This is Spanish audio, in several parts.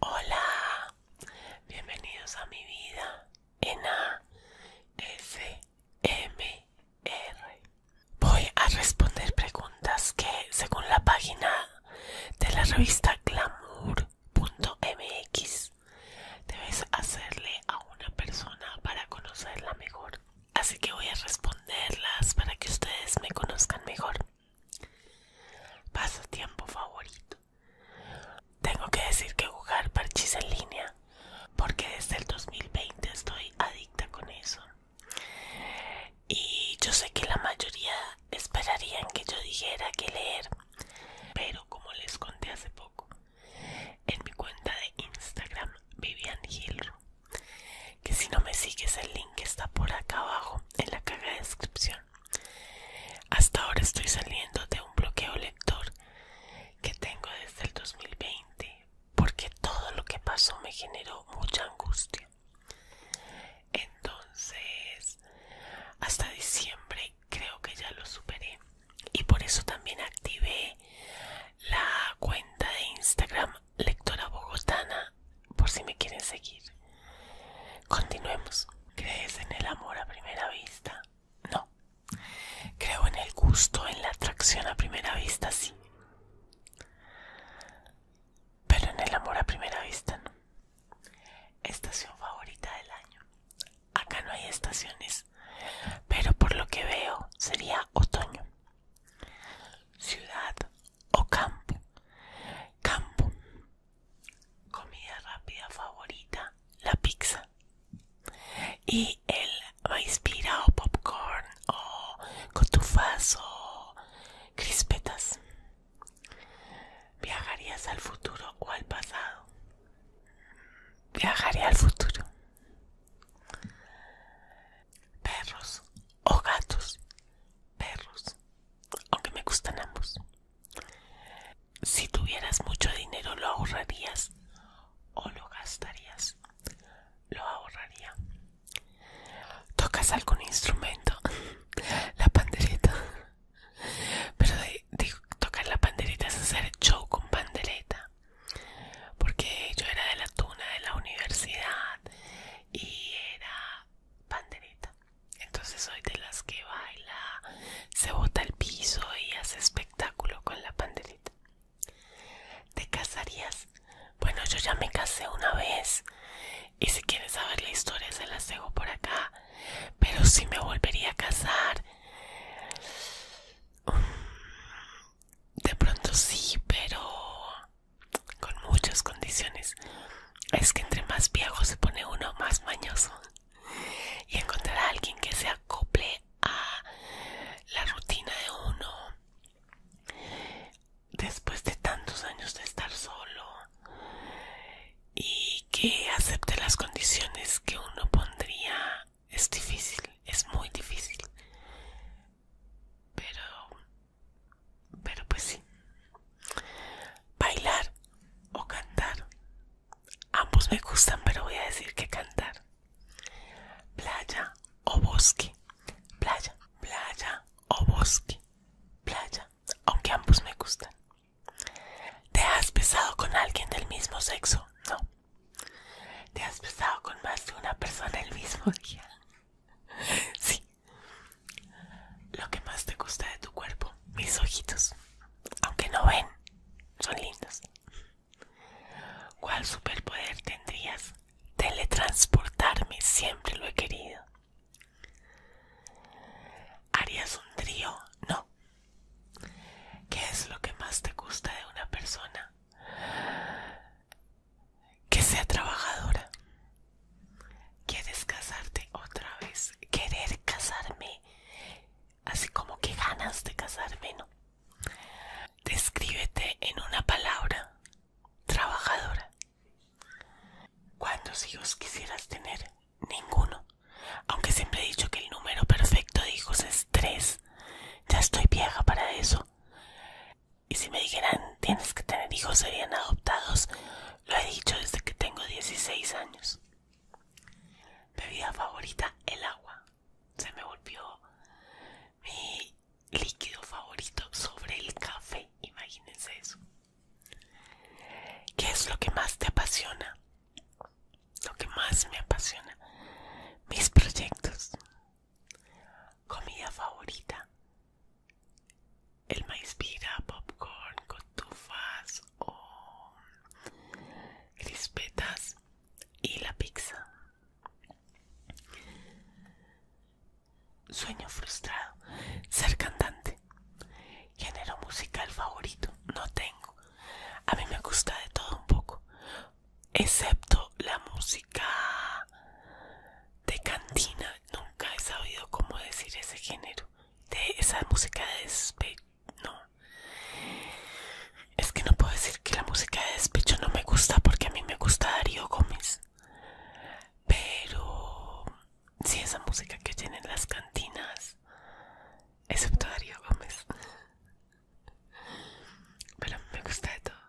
Hola, bienvenidos a mi vida en ASMR. Voy a responder preguntas que, según la página de la revista Glamour, mx debes hacerle a una persona para conocerla mejor. Así que voy a responderlas para que ustedes me conozcan mejor. Pasatiempo favorito. Tengo que decir que jugar parchís en línea, porque desde el 2020 estoy adicta con eso. Y yo sé que la mayoría esperarían que yo dijera que leer, pero como les conté hace poco, en mi cuenta de Instagram Vivian Gilro, que si no me sigues el link está por acá abajo en la caja de descripción. Hasta ahora estoy saliendo de un bloqueo lector que tengo desde el 2020 porque todo lo que pasó me generó mucha angustia entonces hasta diciembre creo que ya lo superé y por eso también activé la cuenta de Instagram lectora bogotana por si me quieren seguir continuemos crees en el amor a primera vista no creo en el gusto en la atracción a primera vista sí pero en el amor a primera vista no Estación favorita del año. Acá no hay estaciones, pero por lo que veo sería otoño. Ciudad o campo. Campo. Comida rápida favorita, la pizza. Y el inspira o popcorn o cotufas o crispetas. ¿Viajarías al futuro o al pasado? Viajaría al futuro. Perros o gatos. Perros. Aunque me gustan ambos. Si tuvieras mucho dinero, ¿lo ahorrarías o lo gastarías? Lo ahorraría. ¿Tocas algún instrumento? La pandereta. Pero tocar la panderita es hacer show con pandereta. Porque yo era de la tuna de la universidad y era pandereta. Entonces soy de las que baila, se bota el piso y hace espectáculo con la panderita ¿Te casarías? Bueno, yo ya me casé una vez y si quieres saber la historia se las dejo por acá. Pero si me volvería a casar. Mm, de pronto sí, pero con muchas condiciones. Es que entre más viejo se pone uno más mañoso. Y encontrar a alguien que se acople a la rutina de uno después de tantos años de estar solo y que acepte las condiciones que uno pondría es difícil, es muy difícil. Pero, pero pues sí. Bailar o cantar. Ambos me gustan, pero voy a decir que cantar. Playa o bosque. Playa, playa o bosque. Playa aunque ambos me gustan. ¿Te has besado con alguien del mismo sexo? No. ¿Te has besado con más de una persona del mismo día? Sí. Lo que más te gusta de tu cuerpo, mis ojitos. Aunque no ven, son lindos. ¿Cuál superpoder tendrías? Teletransportarme, siempre lo he querido. ¿Harías un trío? No. ¿Qué es lo que más te gusta de una persona? Que sea trabajadora. ¿Quieres casarte otra vez? Querer casarme. Así como que ganas de casarme, ¿no? Descríbete en una palabra. Trabajadora. ¿Cuántos hijos quisieras tener? Ninguno. Aunque siempre he dicho que el número perfecto de hijos es tres. Ya estoy vieja para eso. Y si me dijeran tienes que tener hijos serían adoptados, lo he dicho desde que tengo 16 años. Bebida favorita, el agua. Se me volvió líquido favorito sobre el café. Imagínense eso. ¿Qué es lo que más te apasiona? Lo que más me apasiona. Mis proyectos. Comida favorita. El maíz pira, popcorn, cotufas o crispetas y la pizza. Sueño frustrado. Ser cantante. Género musical favorito. No tengo. A mí me gusta de todo un poco. Excepto la música de cantina. Nunca he sabido cómo decir ese género. De esa música de despecho. No. Es que no puedo decir que la música de despecho no me gusta porque a mí me gusta Darío Gómez. Pero si esa música que oyen en las cantinas, excepto Darío Gómez. Pero me gusta de todo.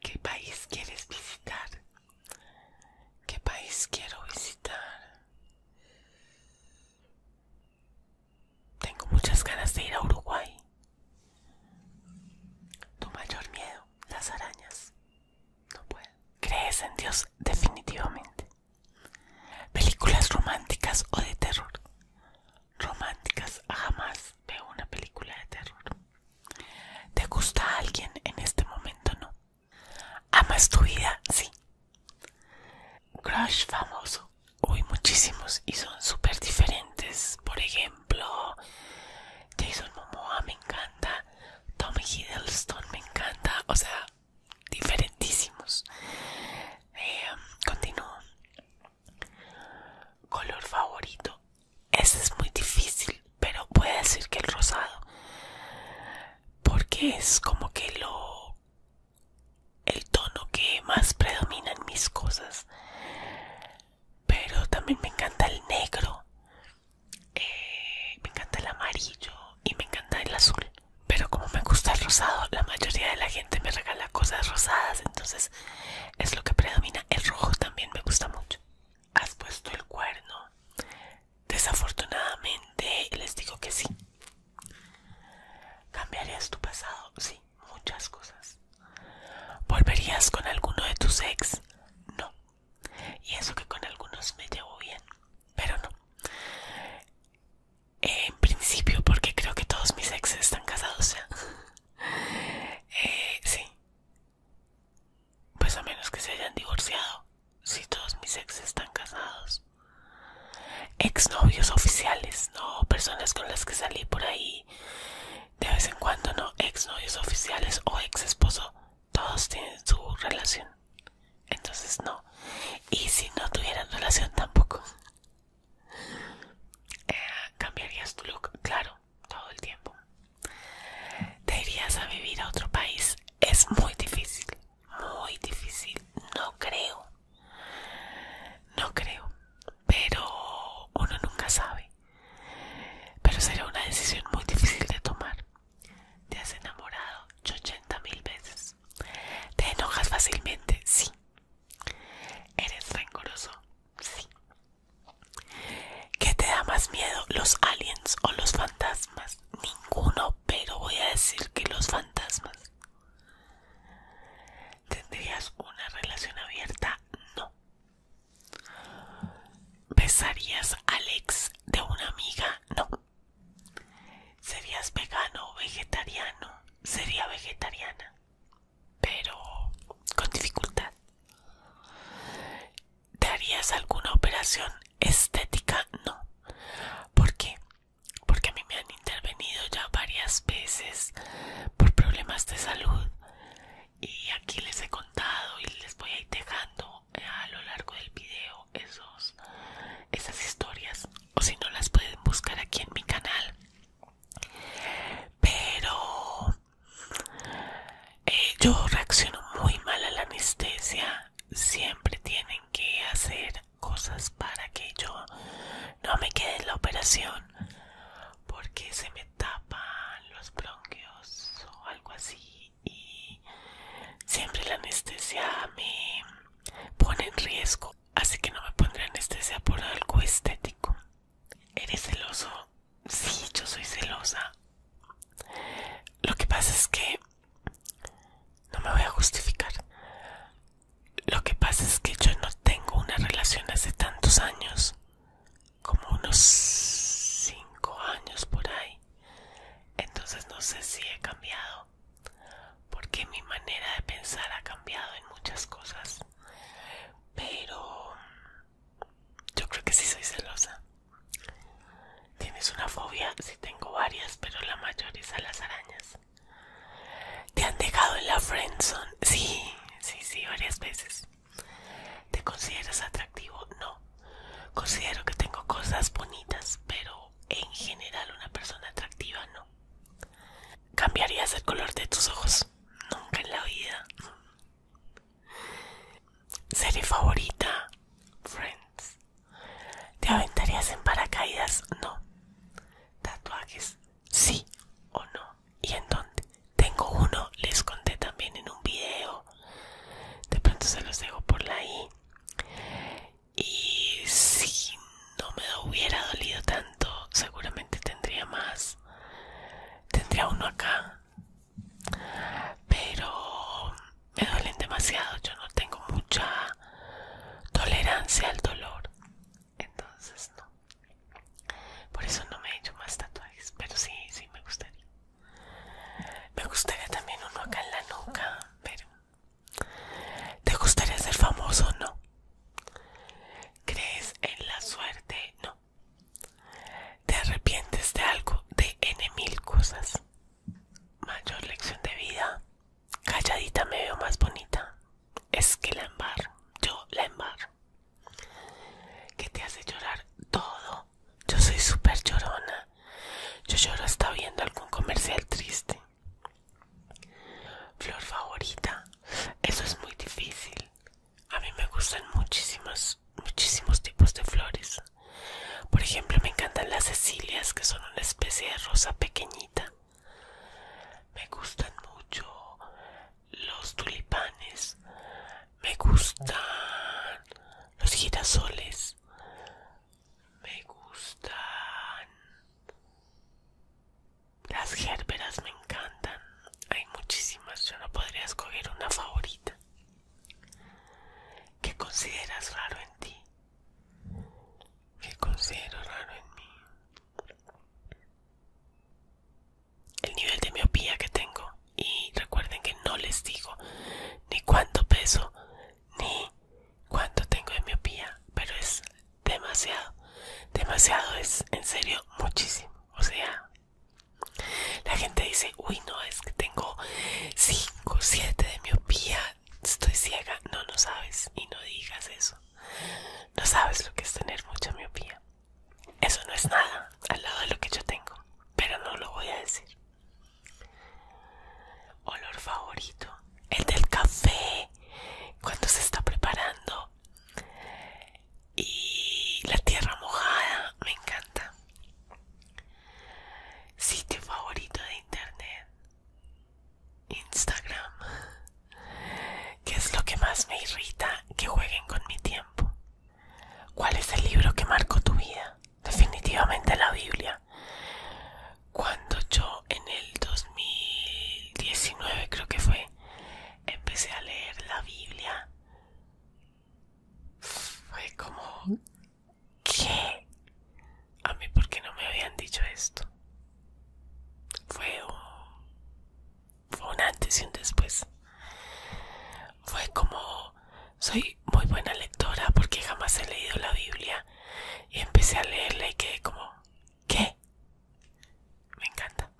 ¿Qué país quieres visitar? ¿Qué país quiero visitar? Tengo muchas ganas de ir a Uruguay. Tu mayor miedo, las arañas. No Crees en Dios definitivamente. Películas románticas o de terror. Románticas, jamás veo una película de terror. ¿Te gusta alguien en este momento? No. ¿Amas tu vida? Sí. Crush famoso. hoy muchísimos y son súper diferentes. Por ejemplo, ejemplo, Jason Momoa me encanta, Tommy Hiddleston me encanta, o sea, diferentísimos. Eh, continúo. Color favorito. Ese es muy difícil, pero puede decir que el rosado. Porque es como que lo... El tono que más predomina en mis cosas pero también me encanta el negro, eh, me encanta el amarillo y me encanta el azul. Pero como me gusta el rosado, la mayoría de la gente me regala cosas rosadas, entonces es lo que predomina. El rojo también me gusta mucho. ¿Has puesto el cuerno? Desafortunadamente les digo que sí. ¿Cambiarías tu pasado? Sí muchas cosas. ¿Volverías con alguno de tus ex? No. Y eso que con algunos me llevo bien, pero no. En principio, porque creo que todos mis ex están casados eh, sí. Pues a menos que se hayan divorciado. Si todos mis ex están casados. ¿Ex novios oficiales, no personas con las que salí por ahí de vez en cuando no ex novios oficiales o ex esposo todos tienen su relación entonces no y si no tuvieran relación tampoco eh, cambiarías tu look claro todo el tiempo te irías a vivir a otro país es muy difícil muy difícil no creo no creo pero uno nunca sabe pero será una decisión muy difícil de tomar. Te has enamorado 80 mil veces. Te enojas fácilmente, sí. Eres rencoroso, sí. ¿Qué te da más miedo, los aliens o los fantasmas? Ninguno, pero voy a decir que los fantasmas. ¿Tendrías una relación abierta? No. ¿Besarías a Alex de una amiga? No. ¿Serías vegano o vegetariano? Sería vegetariana, pero con dificultad. ¿Te harías alguna operación estética? No. ¿Por qué? Porque a mí me han intervenido ya varias veces por problemas de salud y aquí les he contado y les voy a ir dejando eh, a lo largo del video esos, esas historias o si no las pueden buscar aquí en mi canal pero eh, yo reacciono muy mal a la anestesia siempre tienen que hacer cosas para que yo no me quede en la operación porque se me tapan los bronquios o algo así y siempre la anestesia me pone en riesgo así que no me pondré anestesia por algo estético eres celoso sí yo soy celosa lo que pasa es que no me voy a justificar lo que pasa es que yo no tengo una relación hace tantos años, como unos cinco años por ahí. Entonces no sé si he cambiado, porque mi manera de pensar ha cambiado en muchas cosas. Pero yo creo que sí soy celosa. Tienes una fobia, si tengo varias, pero la mayor es a las arañas. Te han dejado en la Friendson Sí, sí, sí, varias veces. ¿Te consideras atractivo? No. Considero que tengo cosas bonitas, pero en general una persona atractiva no. ¿Cambiarías el color de tus ojos? Nunca en la vida. ¿Serie favorita? Friends. ¿Te aventarías en paracaídas? No. ¿Tatuajes? sí o no y en dónde. Tengo uno, les conté también en un video. De pronto se los dejo por la i. Y si no me hubiera dolido tanto, seguramente tendría más. Tendría uno acá. Pero me duelen demasiado. Yo no tengo mucha tolerancia al dolor entonces no por eso no me he hecho más tatuajes pero sí sí me gustaría me gustaría también uno acá en la nuca pero te gustaría ser famoso no crees en la suerte no te arrepientes de algo de n mil cosas mayor lección de vida calladita me veo más bonita es que la embarro, yo la embarro. Que te hace llorar todo. Yo soy súper llorona. Yo lloro hasta viendo algún comercial triste. Flor favorita. Eso es muy difícil. A mí me gustan muchísimas, muchísimos tipos de flores. Por ejemplo, me encantan las cecilias, que son una especie de rosa pequeñita. Me gustan mucho los tulipanes. Me gustan los girasoles. Me gustan las gérberas, me encantan. Hay muchísimas, yo no podría escoger una favorita. ¿Qué consideras raro en ti? ¿Qué considero raro en mí? el nivel de miopía que tengo y recuerden que no les digo ni cuánto peso ni cuánto tengo de miopía pero es demasiado demasiado es en serio muchísimo o sea la gente dice uy no es que tengo 5 7 de miopía estoy ciega no no sabes y no digas eso no sabes lo que es tener mucha miopía. Eso no es nada al lado de lo que yo tengo, pero no lo voy a decir. Olor favorito, el del café, cuando se está preparando. Y la tierra mojada, me encanta. Sitio favorito de internet. Instagram. ¿Qué es lo que más me irrita que jueguen con mi tiempo? ¿Cuál es el libro que marcó tu vida? Definitivamente la Biblia. Cuando yo en el 2019 creo que fue, empecé a leer la Biblia, fue como, ¿qué? a mí porque no me habían dicho esto. Fue un, fue un antes y un después. Fue como, soy muy buena lectora porque jamás he leído la Biblia y empecé a leerla y quedé como, ¿qué? Me encanta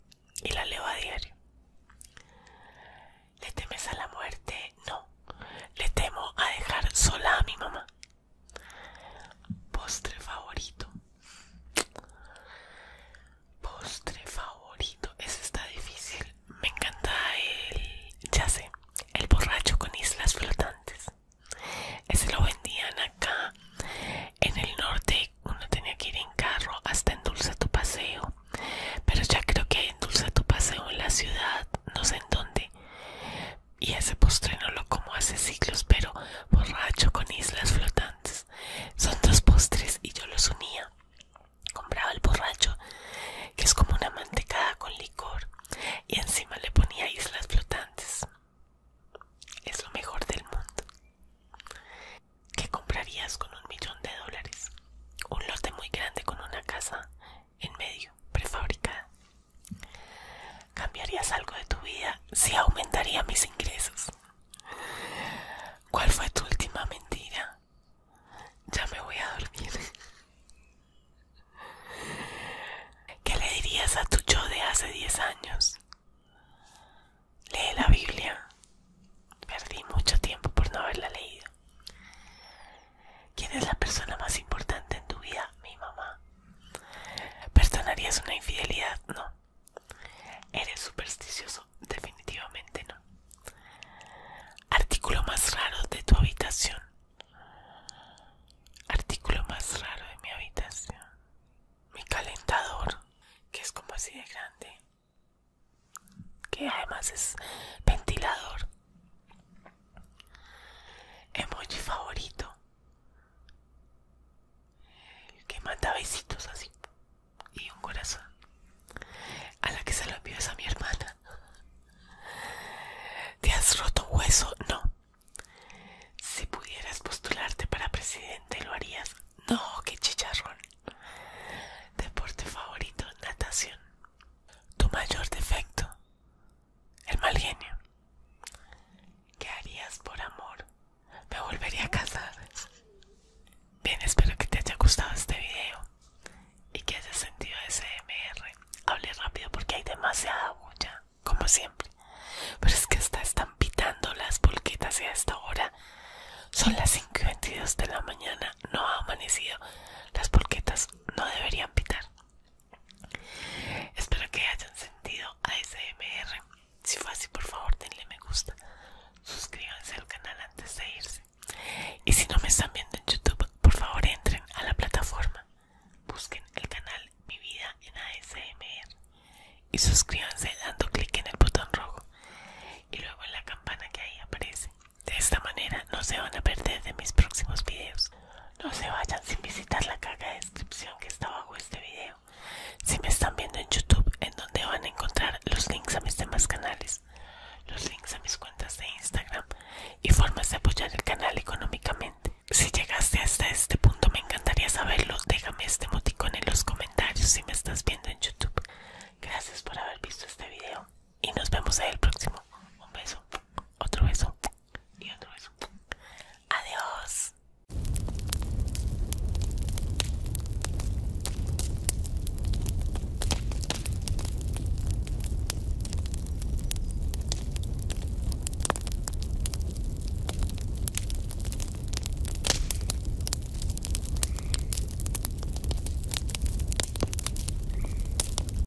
y la leo a diario. ¿Le temes a la muerte? No. Le temo a dejar sola a mi mamá. Postre favorito. Postre favorito. Ese está difícil. Me encanta el... Ya sé. El borracho con islas flotantes. Ese lo vendían acá en el norte. Uno tenía que ir en carro hasta Endulza tu Paseo. Pero ya creo que hay Endulza tu Paseo en la ciudad. No sé en dónde y ese postre no lo como hace siglos, pero borracho con islas flotantes. Son dos postres y yo los unía. Compraba el borracho, que es como una mantecada con licor, y encima le ponía islas flotantes. Es lo mejor del mundo. ¿Qué comprarías con un millón de dólares? Un lote muy grande con una casa en medio, prefabricada. ¿Cambiarías algo de tu vida si aumentaría mis ingresos? ¿Cuál fue tu última mentira? Ya me voy a dormir. ¿Qué le dirías a tu yo de hace 10 años? Lee la Biblia. Perdí mucho tiempo por no haberla leído. ¿Quién es la persona más importante en tu vida? Mi mamá. ¿Perdonarías una infidelidad? No. ¿Eres supersticioso? Definitivamente no. Artículo más raro de tu habitación. Artículo más raro de mi habitación. Mi calentador, que es como así de grande. Que además es ventilador. Emoji favorito. El que manda besitos así y un corazón. A la que se lo envió a mi hermana. ¿Te has roto un hueso? No. Si pudieras postularte para presidente, ¿lo harías? No, qué chicharrón. Deporte favorito, natación. Tu mayor defecto. El mal genio. ¿Qué harías por amor? Me volvería a casar. Bien, espero que te haya gustado este video y que hayas sentido ese MR hable rápido porque hay demasiada bulla, como siempre. Pero es que están pitando las polquetas y a esta hora son las 5 y 22 de la mañana. No ha amanecido. Las polquetas no deberían pitar. Espero que hayan sentido ASMR. Si fue así, por favor, denle me gusta. Suscríbanse al canal antes de irse. Y si no me están viendo en YouTube, por favor entren a la plataforma. Busquen el canal Mi Vida en ASMR. Y suscríbanse dando clic en el botón rojo. Y luego en la campana que ahí aparece. De esta manera no se van a perder de mis próximos videos. No se vayan sin visitar la caja de descripción que está bajo este video. Si me están viendo en YouTube, en donde van a encontrar los links a mis demás canales, los links a mis cuentas de Instagram y formas de apoyar el canal económicamente. Si llegaste hasta este punto, me encantaría saberlo. Déjame este emoticón en los comentarios si me estás viendo en YouTube. Gracias por haber visto este video y nos vemos en el próximo. Un beso, otro beso y otro beso. Adiós.